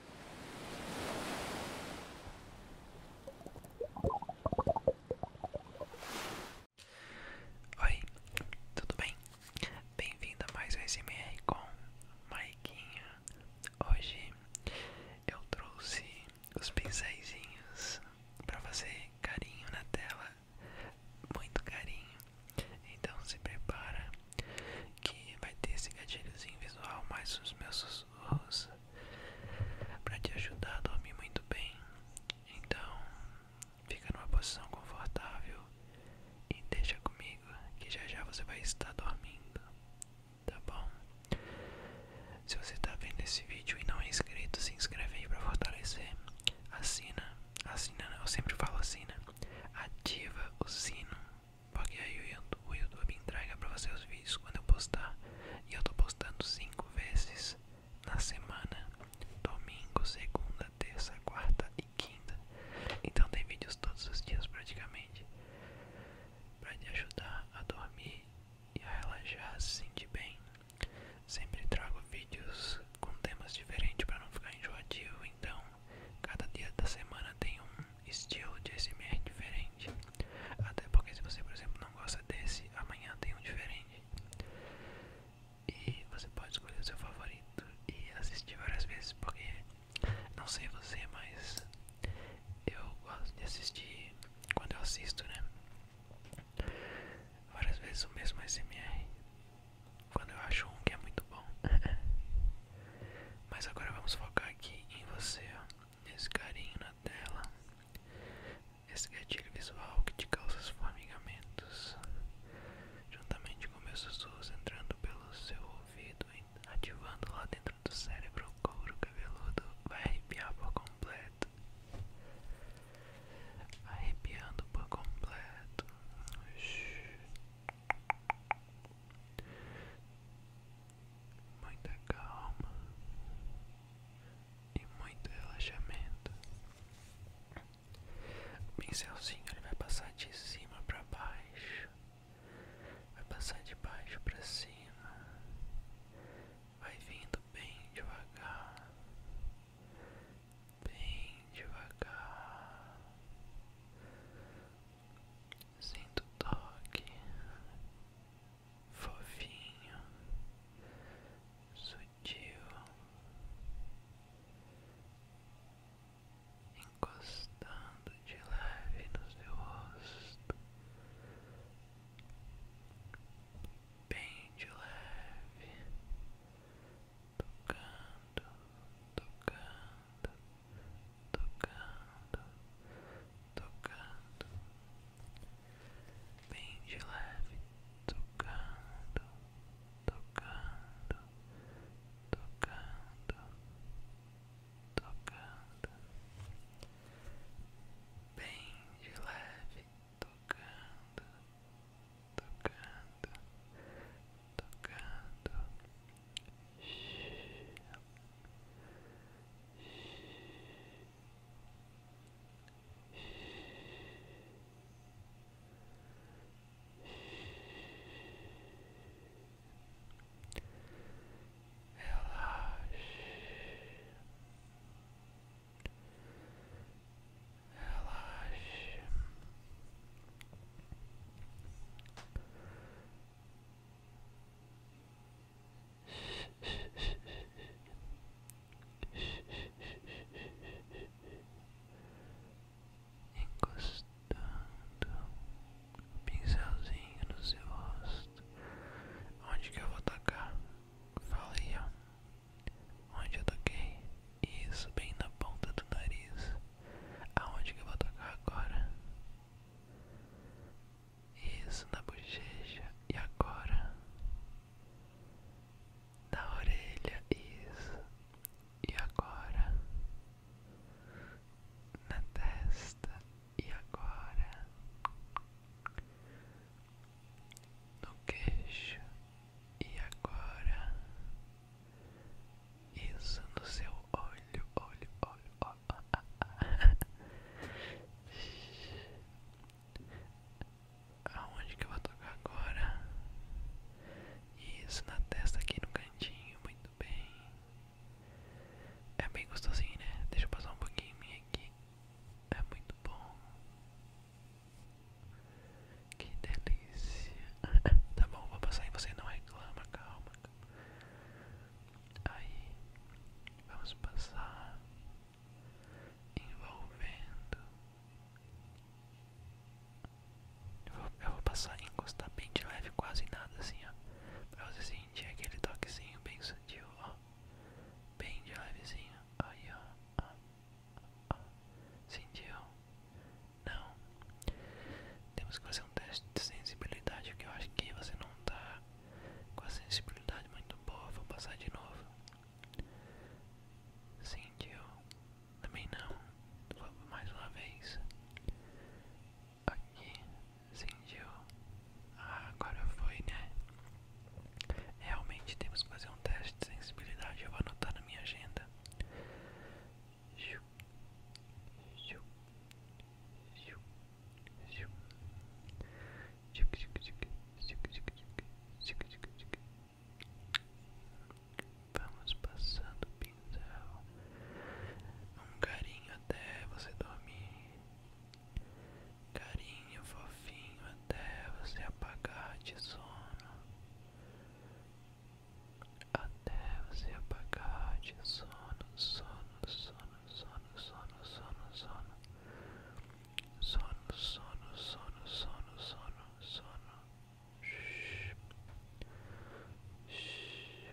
Oi, tudo bem? Bem-vindo a mais um SMR com Maiquinho. Hoje eu trouxe os pincéis para fazer carinho na tela, muito carinho. Então se prepara que vai ter esse gatilhozinho visual mais os meus sussurros para te ajudar a dormir muito bem. Então, fica numa posição confortável e deixa comigo que já já você vai estar dormindo, tá bom? Se você está vendo esse vídeo e não é inscrito, se inscreve aí para fortalecer. Assina, assina, eu sempre falo assina. Ativa o sino porque aí o YouTube, o YouTube entrega para você os vídeos quando eu postar. E eu estou postando 5 vezes na semana: domingo, segunda, terça, quarta e quinta. Então tem vídeos todos os dias praticamente. para te ajudar a dormir e a relaxar, se sentir bem. Sempre trago vídeos com temas diferentes para não ficar enjoativo. Então Cada dia da semana tem um estilo de SMR diferente. Até porque se você, por exemplo, não gosta desse, amanhã tem um diferente. E você pode escolher o seu favorito e assistir várias vezes, porque não sei você, mas eu gosto de assistir quando eu assisto, né? Várias vezes o mesmo SMR quando eu acho um que é muito bom. Mas agora vamos focar aqui em você, ó, nesse carinho na tela, esse gatilho visual que te causa os formigamentos, juntamente com meus sussurros entrando pelo seu ouvido, ativando lá dentro do cérebro o couro cabeludo, vai arrepiar por completo, arrepiando por completo. Shhh muita calma e muito relaxamento. O pincelzinho ele vai passar de cima para baixo, vai passar de baixo para cima, vai vindo bem devagar bem devagar. Sinto toque fofinho, sutil, encostando de leve nos seu rosto, bem de leve tocando, tocando, tocando, tocando, bem de leve, tocando, tocando, tocando, tocando, bem de leve, tocando. Tocando, tocando, tocando. Relaxa, relaxa, relaxa, relaxa, relaxa, Relaxe. Encostando o pincelzinho no seu rosto. Onde que eu vou tocar? Fala Onde eu toquei? Isso, bem na ponta do nariz. Aonde que eu vou tocar agora? Isso, na bochecha. E agora? Na orelha. Isso. E agora? Na testa. E agora? No queixo. E agora, isso no seu olho, olho, olho, olho. Ah, ah, ah. Aonde que eu vou tocar agora? Isso na testa aqui no cantinho, muito bem. É bem gostosinho, né? Deixa eu passar um pouquinho em mim aqui. É muito bom. Que delícia. tá bom, vou passar e você não reclama, calma. Aí, vamos passar envolvendo. Eu vou, passar em encostar bem de leve, quase nada assim, ó. Pra você sentir aquele toquezinho bem sutil, ó. Bem de levezinho. Aí, ó. Sentiu? Não. Temos que fazer um teste de sensibilidade, que eu acho que você não está com a sensibilidade muito boa. Vou passar de novo. Sentiu? Também não. Vou mais uma vez. Aqui. Sentiu? Ah, agora foi, né? Realmente temos que fazer um teste de sensibilidade. Eu vou anotar na minha agenda. Vamos passando o pincel. Um carinho até você dormir carinho fofinho até você apagar de sono, até você apagar de sono, sono, sono, sono, sono, sono, sono, sono, sono, sono, sono, sono, sono, Shhh. Shhh.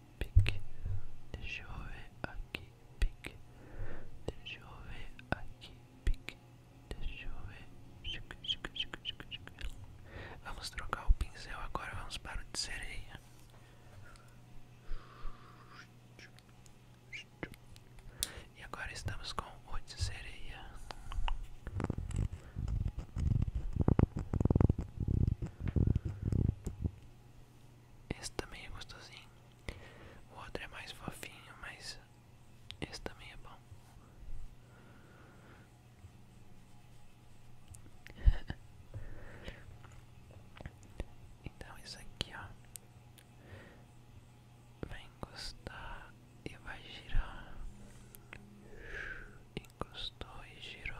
pique, deixa eu ver aqui, pique, deixa eu ver aqui, pique, deixa eu ver. Vamos trocar o pincel agora, vamos para o de sereia. E agora estamos com o de sereia. Esse também é gostosinho. O outro é mais fofinho, mas esse também é bom. então isso aqui ó vai encostar e vai girar encostou e girou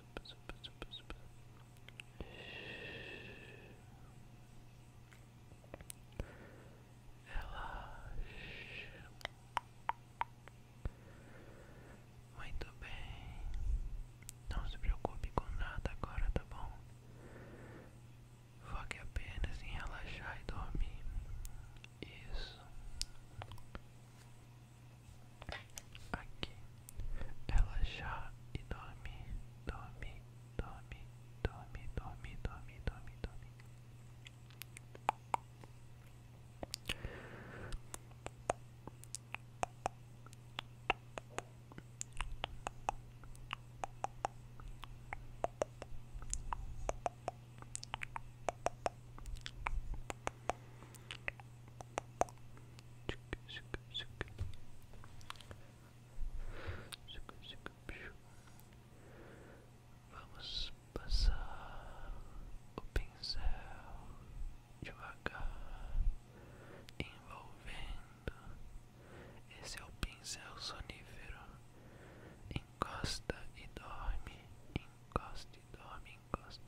suba, suba, suba, suba. Relaxa. Muito bem. Não se preocupe com nada agora, tá bom? Foque apenas em relaxar e dormir. Isso aqui. Ela já e dorme, dorme, dorme, dorme, dorme, dorme, dorme, dorme Vamos passar o pincel devagar, envolvendo. Esse é o pincel sonífero. Encosta e dorme, encosta e dorme, encosta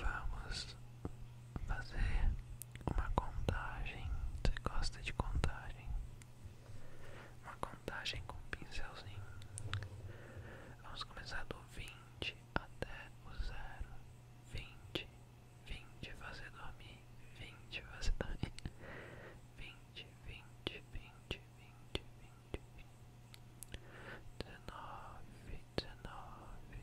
Vamos fazer uma contagem. Você gosta de contagem? Uma contagem com um pincelzinho. Vamos começar do 20 até o zero. 20, 20 fazer dormir, 20 fazer dormir. 20, 20, 20, 20, 20. 19, 19,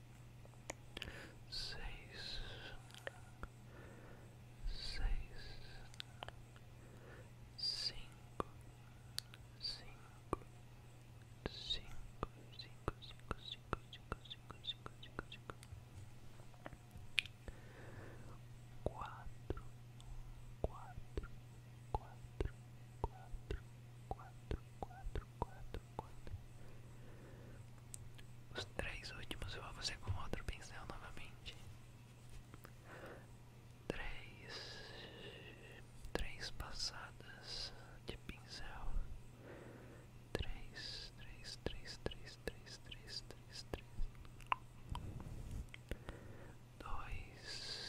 seis, seis, cinco, cinco, cinco, cinco, cinco, cinco, cinco, cinco, cinco, cinco, cinco, quatro, quatro, quatro, quatro, quatro, quatro, quatro, os três últimos eu vou fazer com outro pincel novamente. Três, três passadas de pincel. três, três, três, três, três, três, três. Dois,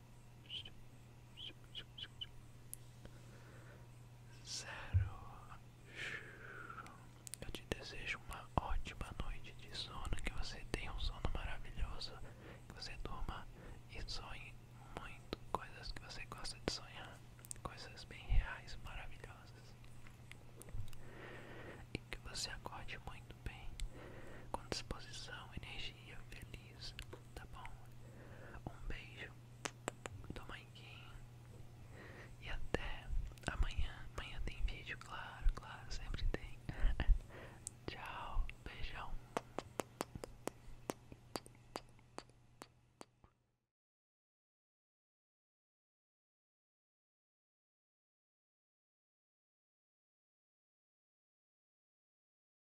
Zero. Eu te desejo uma ótima noite de sono, que você tenha um sono maravilhoso, que você durma e sonhe muito coisas que você gosta de sonhar, coisas bem reais, maravilhosas. E que você acorde muito bem, com disposição, energia, feliz tá bom? Um beijo do Maiquinho e até amanhã. Amanhã tem vídeo, claro, claro, sempre tem. Tchau, beijão.